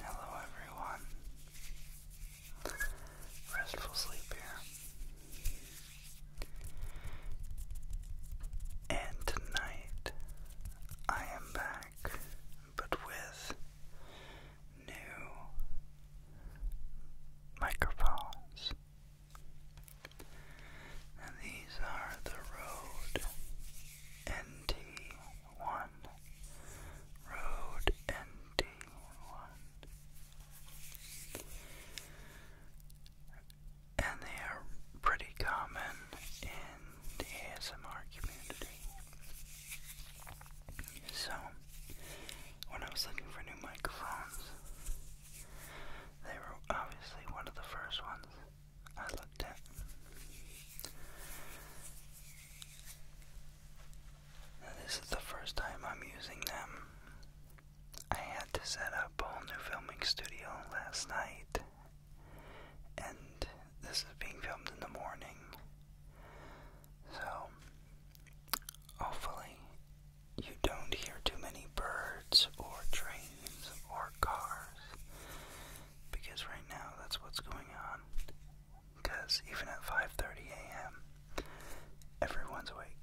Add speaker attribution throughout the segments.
Speaker 1: Hello, everyone. Restful sleep here. And tonight I am back, but with new microphones. these are the Rode NT1. Rode NT1. And they are pretty common in the ASMR community. So, when I was looking for new microphones. They were obviously one of the first ones I looked at. this is the first time I'm using them. I had to set up a whole new filming studio last night, and this is being filmed in the morning. So, hopefully, you don't hear too many birds or trains or cars because right now that's what's going on. Because even at 5:30 a.m., everyone's awake.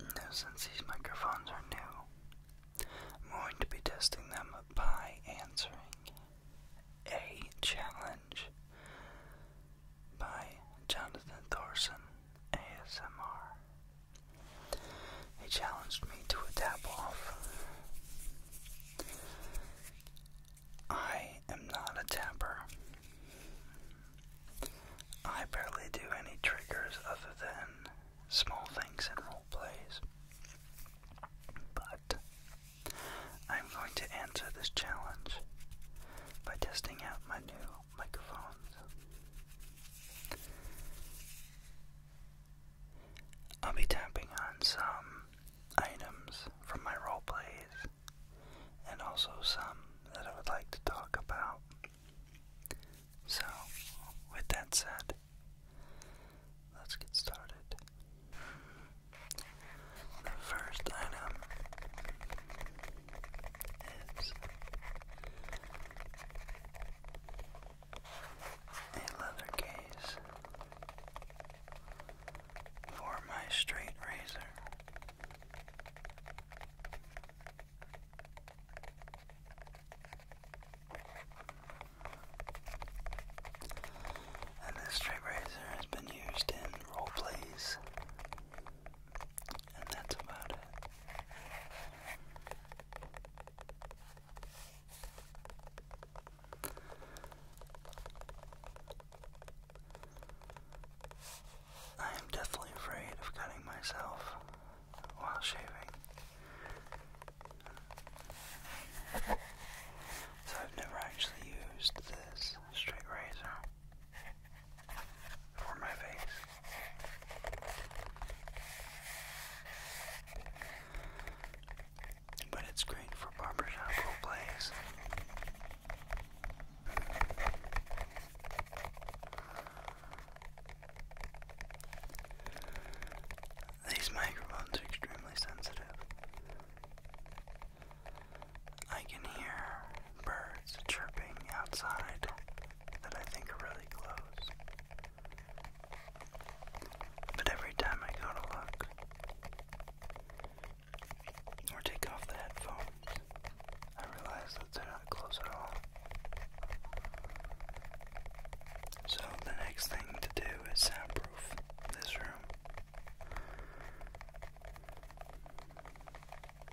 Speaker 1: Now, since these microphones are new, I'm going to be testing them by answering a challenge by Jonathan Thorson ASMR. He challenged me to a tap off. I am not a tapper. I barely do any triggers other than small things in role plays. But I'm going to answer this challenge by testing out my new microphones. I'll be tapping on some items from my role plays and also some that I would like to talk about. So, with that said, let's get started. The first item is a leather case for my straight razor. And this straight razor has been used in role plays and that's about it. I am definitely afraid of cutting myself while shaving. So I've never actually used this straight razor for my face. But it's great for barbershop plays. These microphones are extremely sensitive. I can hear birds chirping outside that I think are really close. But every time I go to look or take off the headphones, I realize that they're not close at all. So the next thing to do is soundproof this room.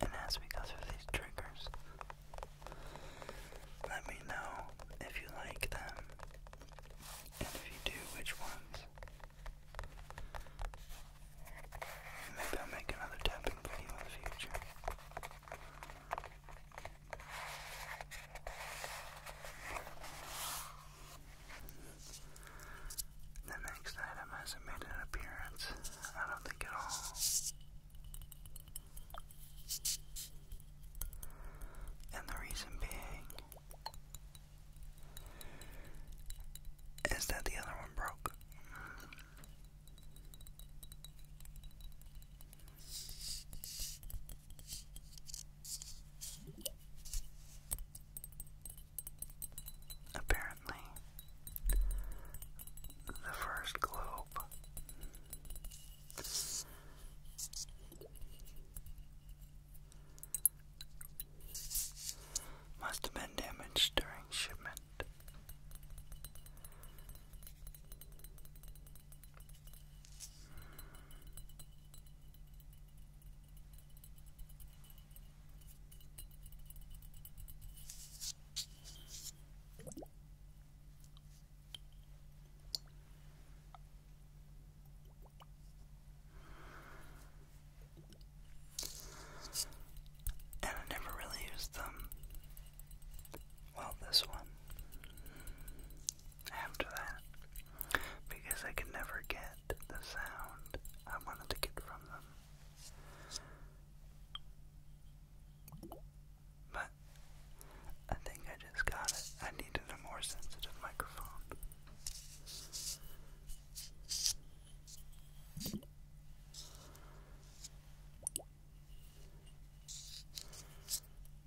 Speaker 1: And as we go through these triggers, let me know if you like them, and if you do, which ones. Maybe I'll make another tapping video in the future. The next item hasn't made an appearance, I don't think at all. And the reason being is that the other one broke. Apparently, the first globe must have been damaged during shipment. And I never really used them. Well, this one after that because I could never get the sound I wanted to get from them. But I think I just got it. I needed a more sensitive microphone.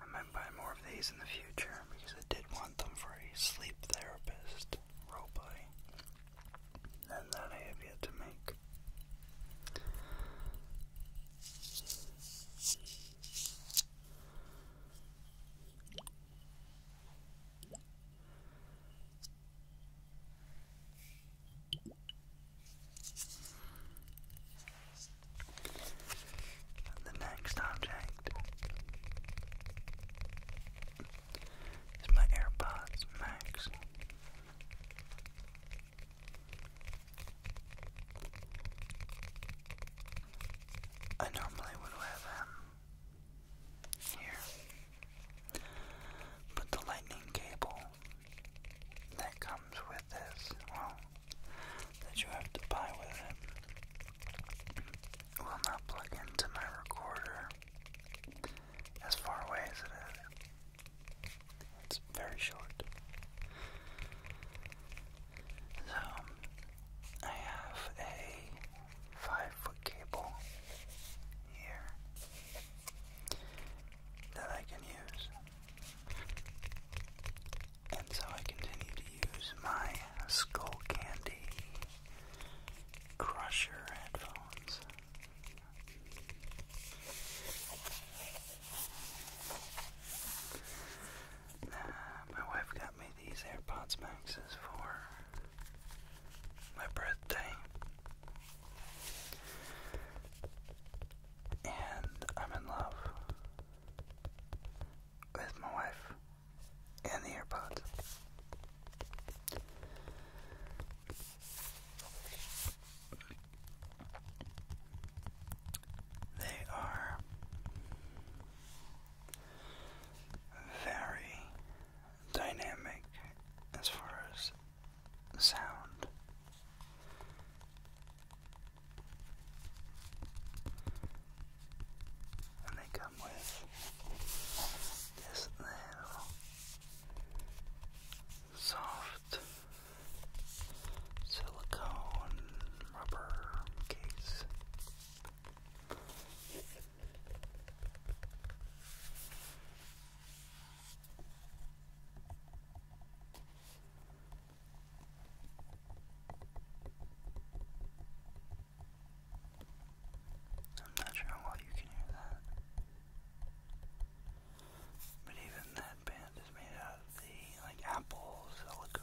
Speaker 1: I might buy more of these in the future because I did want them for a sleep therapist roleplay, and that I have to make. The next object is my AirPods Max. I normally would wear them here. But the lightning cable that comes with this, well, that you have to buy with it, will not plug into my recorder as far away as it is. It's very short. So, I have a five foot cable here that I can use. And so I continue to use my Skull Crusher headphones. my wife got me these AirPods Maxes for my birthday. And I'm in love with my wife and the earbuds. They are very, dynamic as far as sound. And they come with this little soft silicone rubber case. I'm not sure why you can hear that. But even that band is made out of the like apple silicone.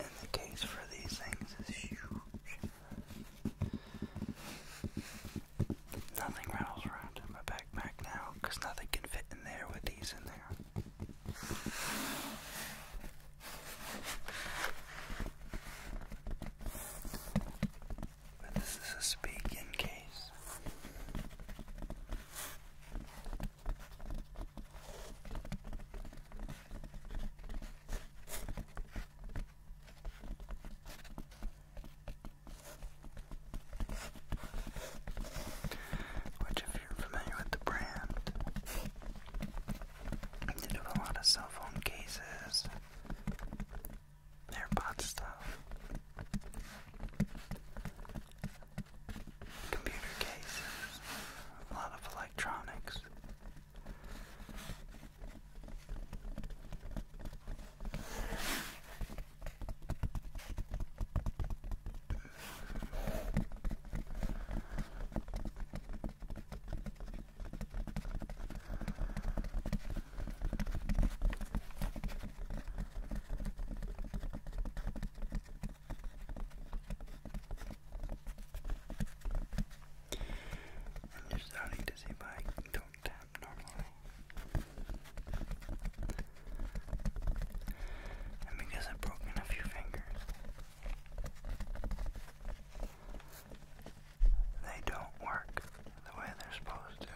Speaker 1: And the case for these things is huge. Nothing rattles around in my backpack now nothing can fit in there with these in there. But this is a speak case. Which, if you're familiar with the brand, they do a lot of cell phone cases, AirPod stuff, computer cases, a lot of electronics. I'm just starting to see why I don't tap normally. And because I've broken a few fingers, they don't work the way they're supposed to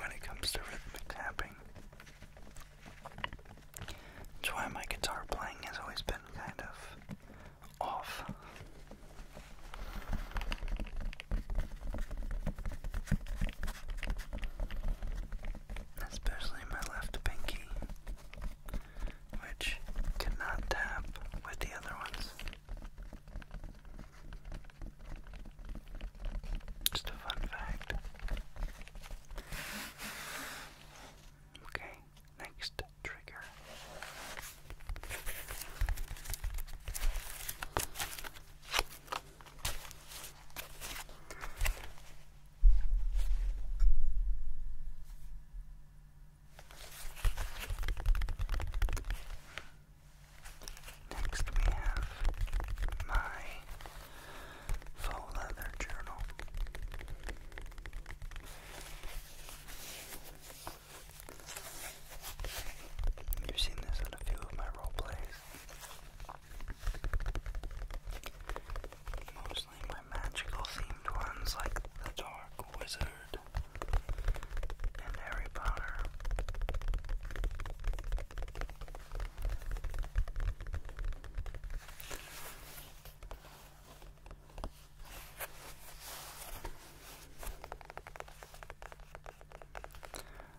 Speaker 1: when it comes to rhythmic tapping. That's why my guitar playing has always been kind of off. Especially my left pinky, which cannot tap with the other ones. Just a fun fact. Okay, next trigger. Next, we have my faux leather journal. You've seen this in a few of my role plays. Mostly my magical themed ones like The Dark Wizard and Harry Potter.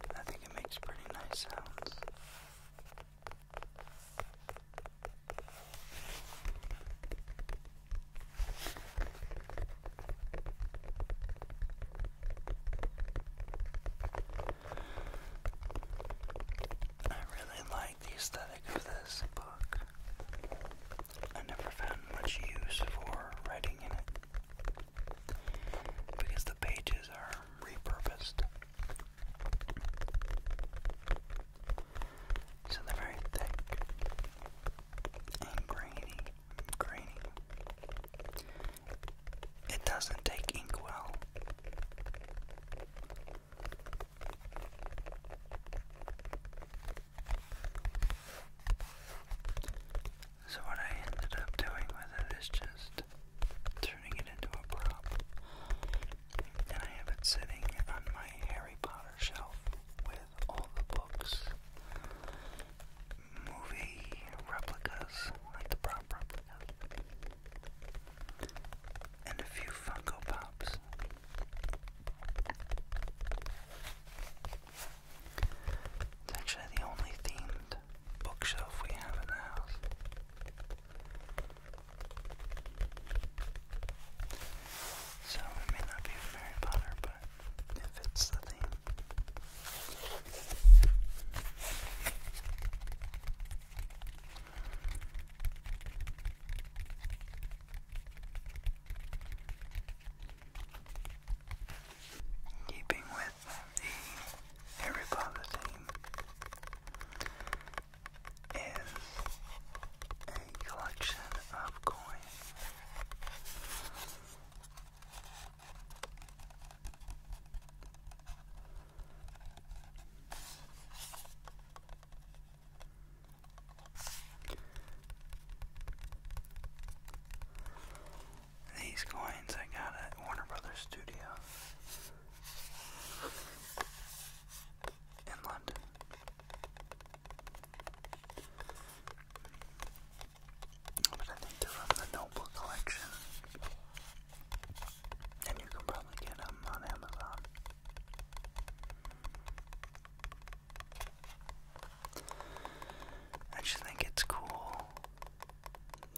Speaker 1: I think it makes pretty nice sounds. I really the aesthetic of this book. I never found much use for writing in it because the pages are repurposed. So they're very thick grainy. Grainy. It doesn't take ink well. So, what I ended up doing with it is just turning it into a prop. And I have it sitting on my Harry Potter shelf with all the books, movie replicas, like the prop replicas and a few Funko Pops. It's actually the only themed bookshelf we have in the house. So it may not be from Harry Potter, but it fits the theme. Keeping with the Harry Potter theme is a collection of coins. These coins I got at Warner Brothers Studio in London. But I think they're from the Noble Collection. And you can probably get them on Amazon. I just think it's cool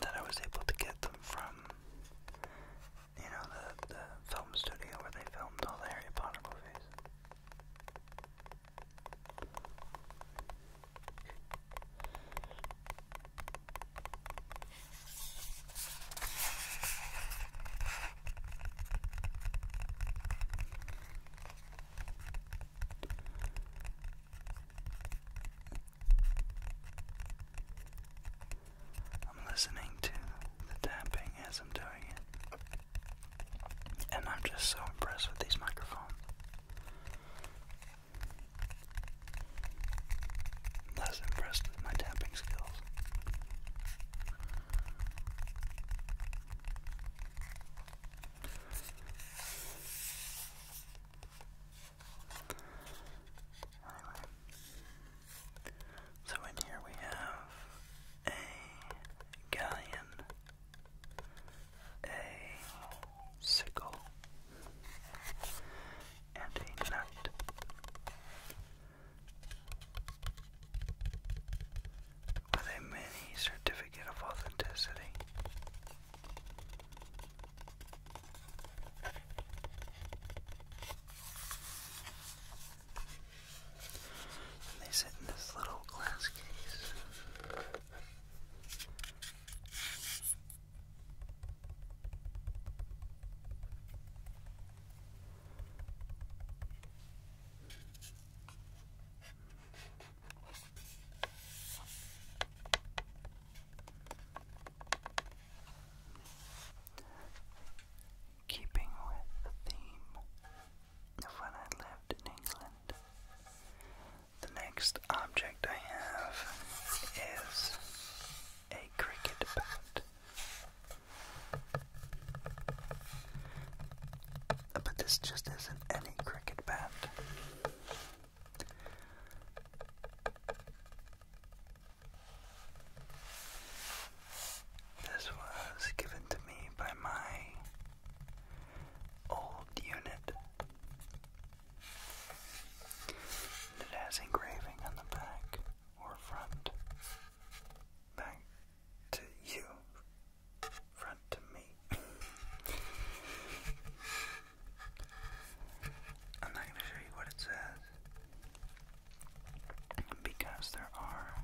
Speaker 1: that I was able to get them from, you know, the, the film studio where they filmed all the Harry Potter movies. I'm listening to the tapping as I'm doing it. And I'm just so impressed with these microphones. Less impressed with my tapping skills. Anyway. So in here we have a galleon, a sickle, and a nut with a mini certificate of authenticity. they sit in this little glass case. Keeping with the theme of when I lived in England, the next object I have is a cricket bat. But this just isn't any cricket bat. This was given to me by my old unit. It has engraving on the back or front. Back to you, front to me. I'm not going to show you what it says because there are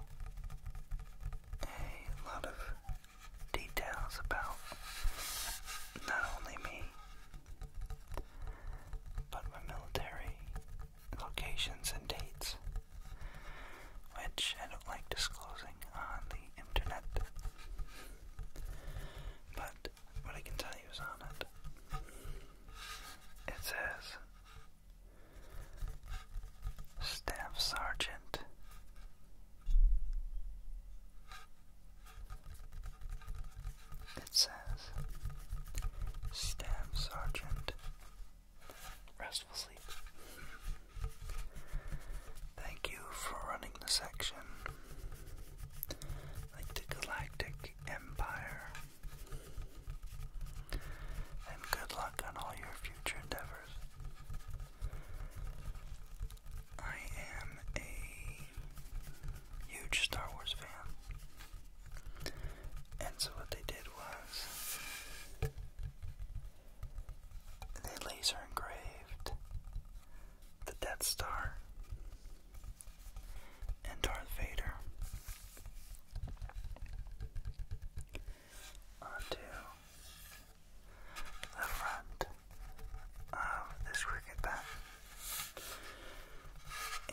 Speaker 1: a lot of details about not only me, but my military locations and dates, which I don't like disclosing on the internet. But what I can tell you is on it. It says Staff Sergeant It says Staff Sergeant restful sleep. Thank you for running the section. Like the Galactic Empire. And good luck on all your future endeavors. I am a huge Star Wars fan. And so what they did was they laser engraved the Death Star and Darth Vader onto the front of this cricket bat.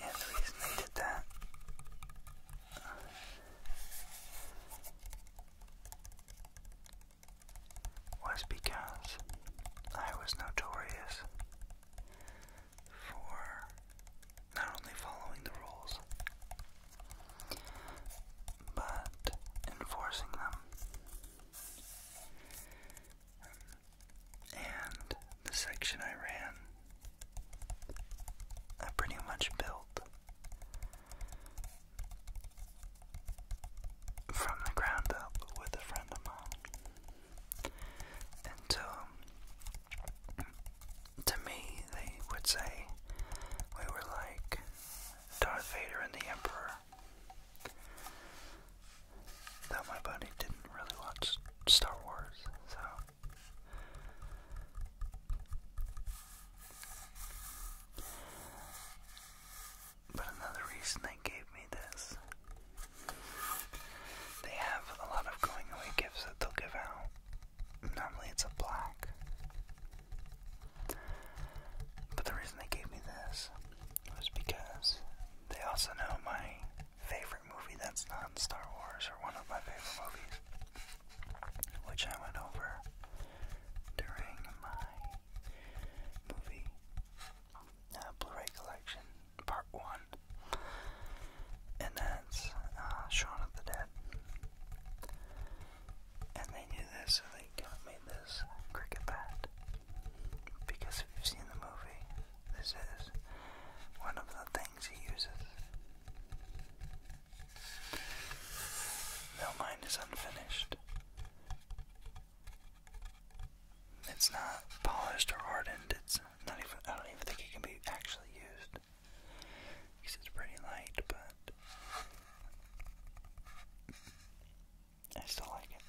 Speaker 1: And the just they did that was because I was notorious for not only following the rules, but enforcing them. And the section I ran I pretty much built from the ground up with a friend of mine. And to, me, they would say we were like Darth Vader and the Emperor. Though my buddy didn't really watch Star Wars, so but another reason they gave me this. They have a lot of going away gifts that they'll give out. Normally it's a black. But the reason they gave me this was because they also know my favorite movie that's not Star Wars or one of my favorite movies which I went over during my movie uh, Blu-ray collection part one, and that's uh, Shaun of the Dead. And they knew this, so they got me this cricket bat because if you've seen the movie, this is one of the things he uses. No, mine is unfinished. It's not polished or hardened. It's not even. I don't even think it can be actually used. Because it's pretty light, but I still like it.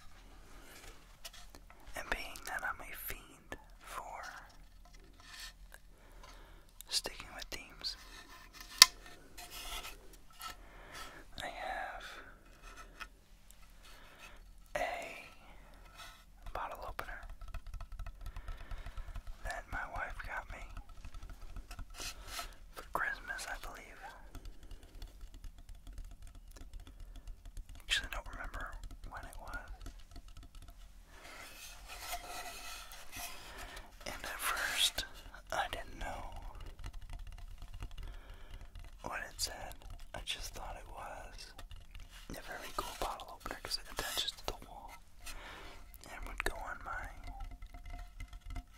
Speaker 1: And being that I'm a fiend for sticking with themes. I have a bottle opener that my wife got me for Christmas, I believe. Actually, don't remember when it was. And at first, I didn't know what it said. I just thought it was a very cool bottle opener because it attaches to the wall and would go on my,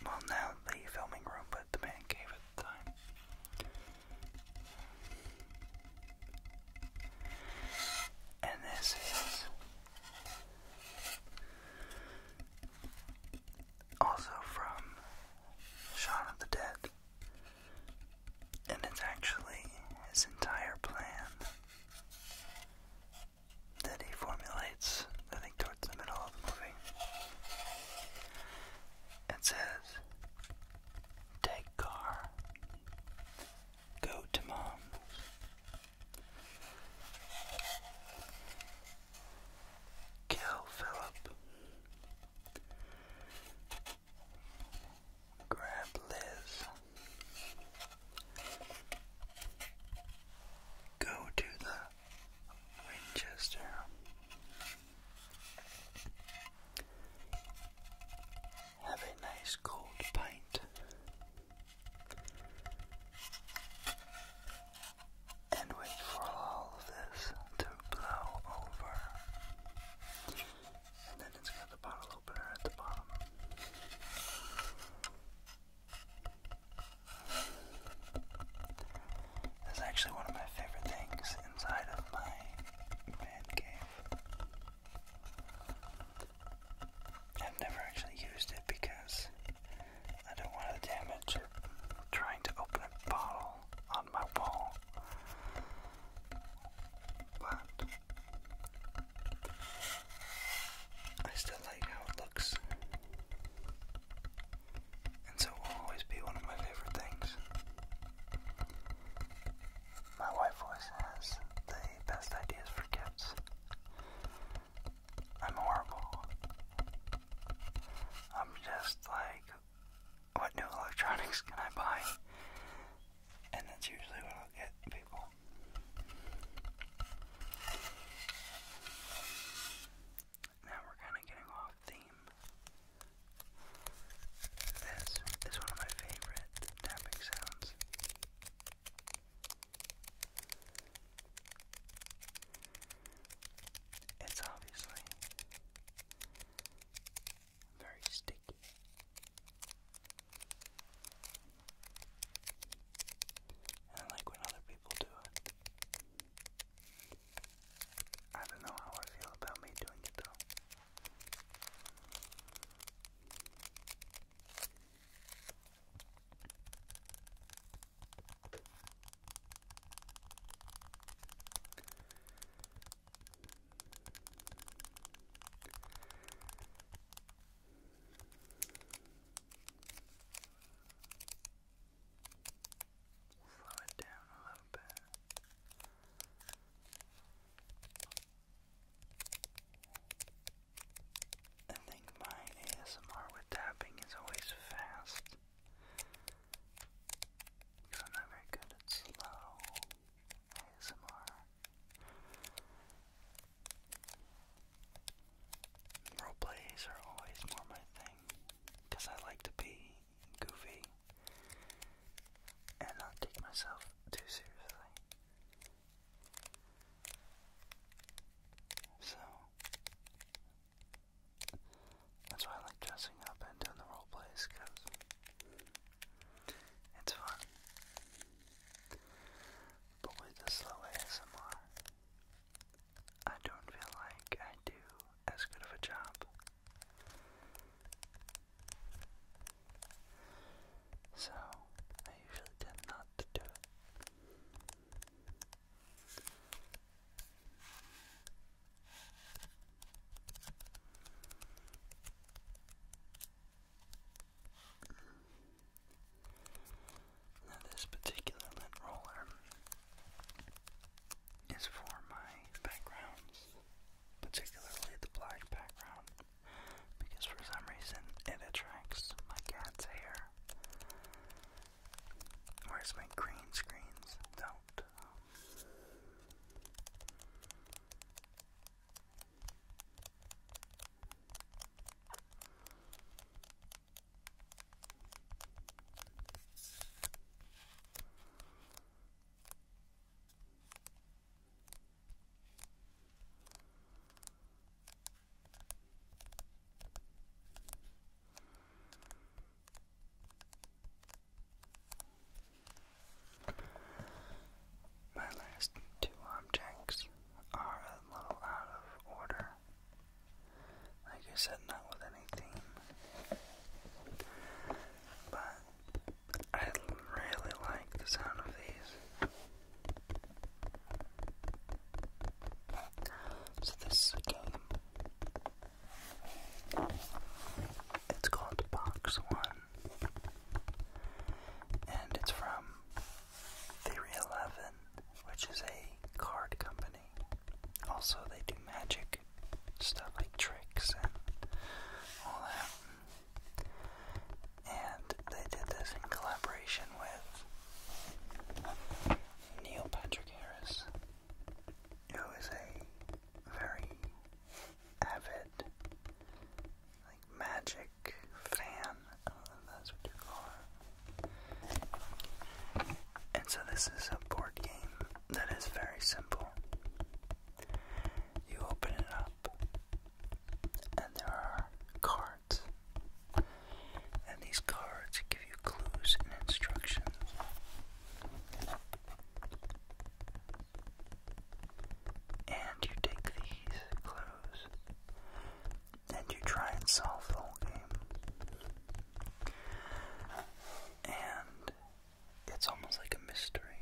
Speaker 1: well, now the filming room, but the man cave at the time. And this is also from Shaun of the Dead. And it's actually his entire plan that he formulates, I think, towards the middle of the movie. It says, Take car, go to mom." Kill Philip. Grab Liz. Go to the Winchester. Have a nice cold pint and wait for all of this to blow over. And then it's got the bottle opener at the bottom. That's actually one of my favorite things inside of my man cave. I've never actually used it because I don't want to damage trying to open a bottle on my wall. But I still like how it looks. And so it will always be one of my favorite things. My wife always has the best ideas for gifts. I'm horrible. I'm just like, what new electronics can I buy? And that's usually what I'll get people. Now we're kind of getting off theme. This is one of my favorite tapping sounds. It's obviously very sticky. And like when other people do it. I don't know how I feel about me doing it though. Slow it down a little bit. I think my ASMR with tapping is always fast. I'm not very good at slow ASMR. Role plays are always more my thing. Because I like to be goofy and not take myself too seriously. So, that's why I like dressing up and doing the role plays because it's fun. But with the slow ASMR, I don't feel like I do as good of a job. So I usually tend not to do it this particular lint roller is for my backgrounds, particularly the black background, because for some reason it attracts my cat's hair. Where's my green screens? Don't. My last two objects are a little out of order. Like I said, not with anything. But I really like the sound of these. So this is a game. It's called Box One. And it's from Theory 11, which is a card company. Also, they do magic stuff like tricks and all that. And they did this in collaboration with Neil Patrick Harris, who is a very avid, magic fan, And so this is a board game that is very simple. You open it up, and there are cards. And these cards give you clues and instructions. And you take these clues and you try and solve the game. And it's almost like a mystery,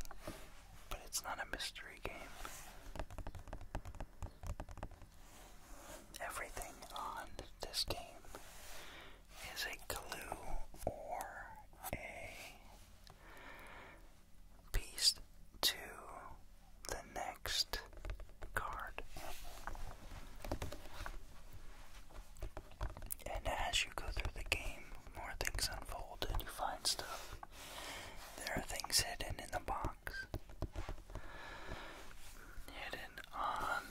Speaker 1: but it's not a mystery game. Everything on this game is a clue or a piece to the next card. And as you go through the game, more things unfold and you find stuff. There are things hidden in the box hidden on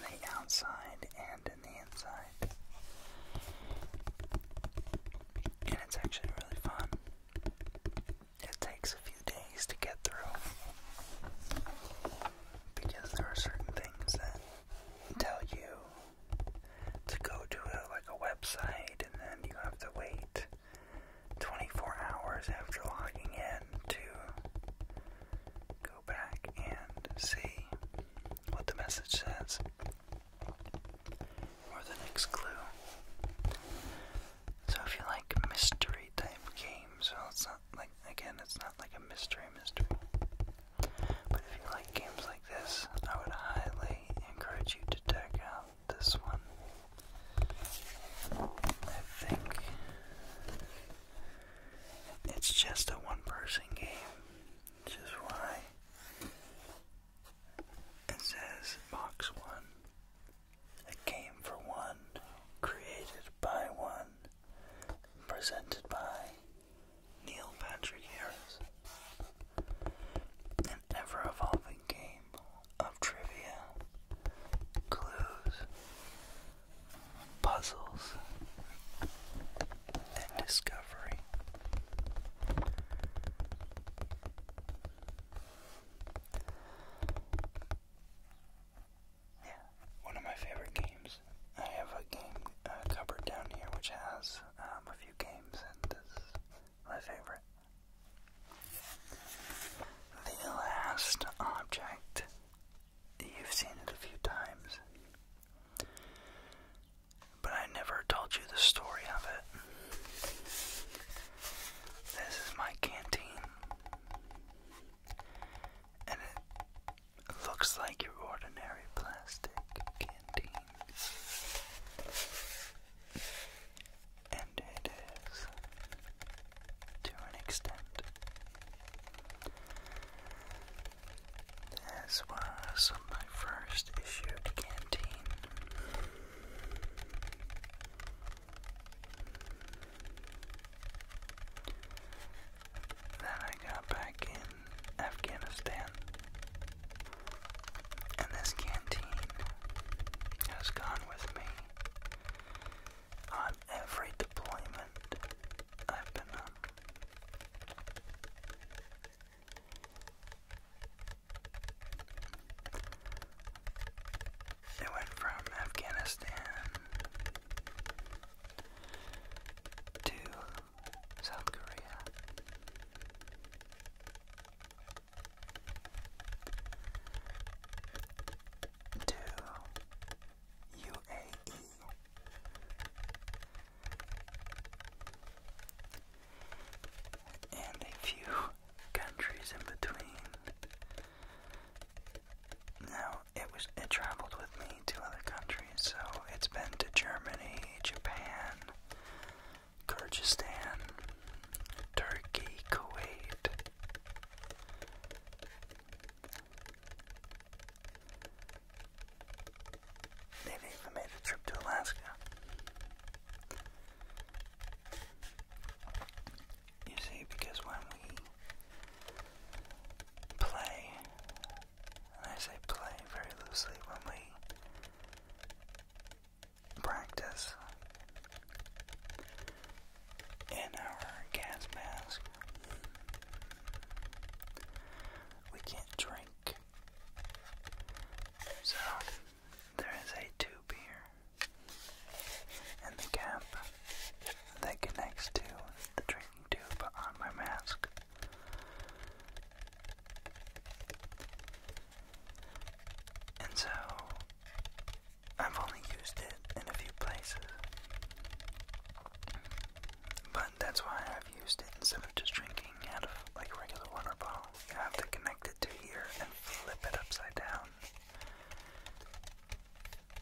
Speaker 1: the outside and in the inside. And it's actually really fun. It takes a few days to get through because there are certain things that tell you to go to like a website and then you have to wait 24 hours after logging in to go back and see what the message says or the next clue. So if you like mystery type games, well it's not like again it's not like a mystery mystery. But if you like games like this, I would highly encourage you to check out this one. I think it's just a one person game, which is why it says Box One. A game for one, created by one, presented by Neil Patrick Harris. An ever evolving game of trivia, clues, puzzles, and discovery. Yeah, one of my favorite games. I have a game cupboard down here which has um, a few games, and this my favorite. The last object, you've seen it a few times, but I never told you the story of it. This is my canteen, and it looks like your ordinary plastic canteen. And it is to an extent. This was my first issued canteen. Then I got back in Afghanistan. And this canteen has gone with me on every deployment I've been on. It went from Afghanistan to South Korea to UAE. And a few countries in between. Now, it was it traveled with me to other countries, so it's been to Germany, Japan, Kyrgyzstan, Turkey, Kuwait, they even made a trip to Alaska. You see, because when we play, I say play very loosely, when we practice, in our gas mask. We can't drink. So there is a tube here and the cap that connects to the drinking tube on my mask. And so I've only used it in a few places. But that's why I've used it instead of just drinking out of like regular water bottle. You have to connect it to here and flip it upside down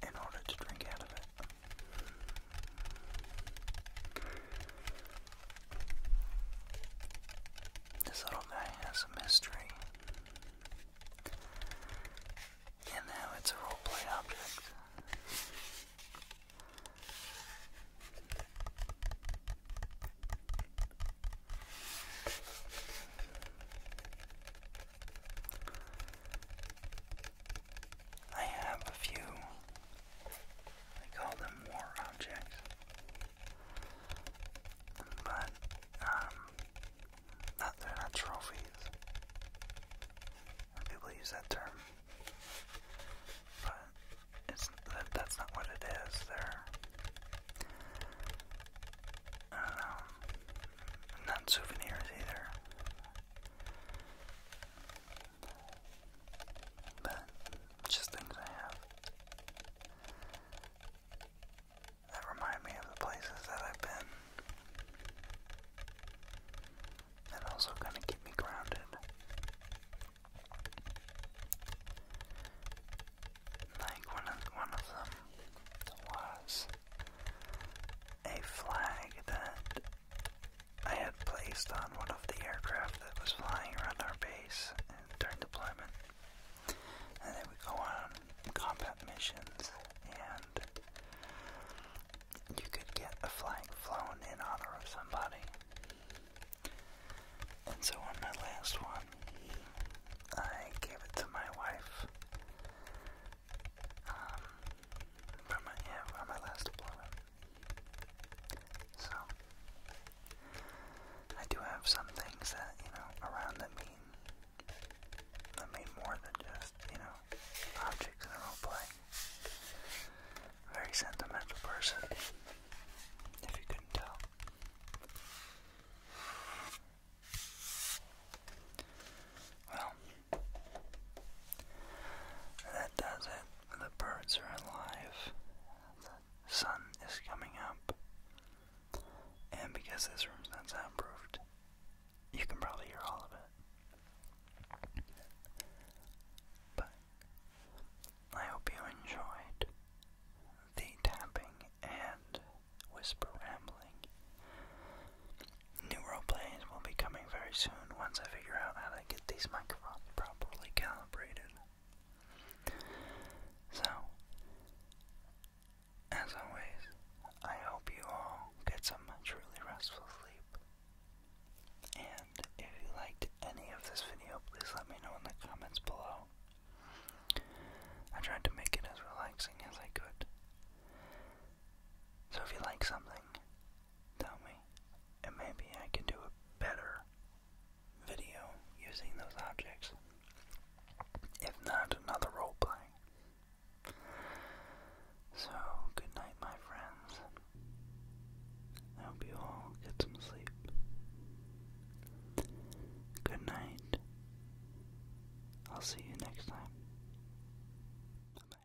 Speaker 1: in order to drink out of it. This little guy has a mystery. And now it's a roleplay object. I have a few, I call them war objects, but um, not they're not trophies. People use that term, but it's that, that's not what it is. They're I don't know, not souvenirs either. But just things I have that remind me of the places that I've been. And also kind of keep me grounded. Like one of one of them was a flag that I had placed on one of the aircraft that was flying around our base during deployment. And they would go on combat missions, and you could get a flag flown in honor of somebody. And so on my last one, I gave it to my wife. Um, from my, yeah, from my last deployment. So, I do have some things that, you know, around that mean I mean, more than just, you know, objects in a role Very sentimental person, if you couldn't tell. Well, that does it. The birds are alive. The sun is coming up. And because this room's not soundproofed, you can probably hear all of it. But I hope you enjoyed the tapping and whisper rambling. New role plays will be coming very soon once I figure out how to get these microphones properly calibrated. So, as always, I hope you all get some truly restful sleep. And if you liked any of this video, please let me know in the comments below. I tried to make it as relaxing as I could. So if you like something, tell me, and maybe I can do a better video using those objects. If not, another role playing. So, good night, my friends. I hope you all get some sleep. Good night. I'll see you next time. Bye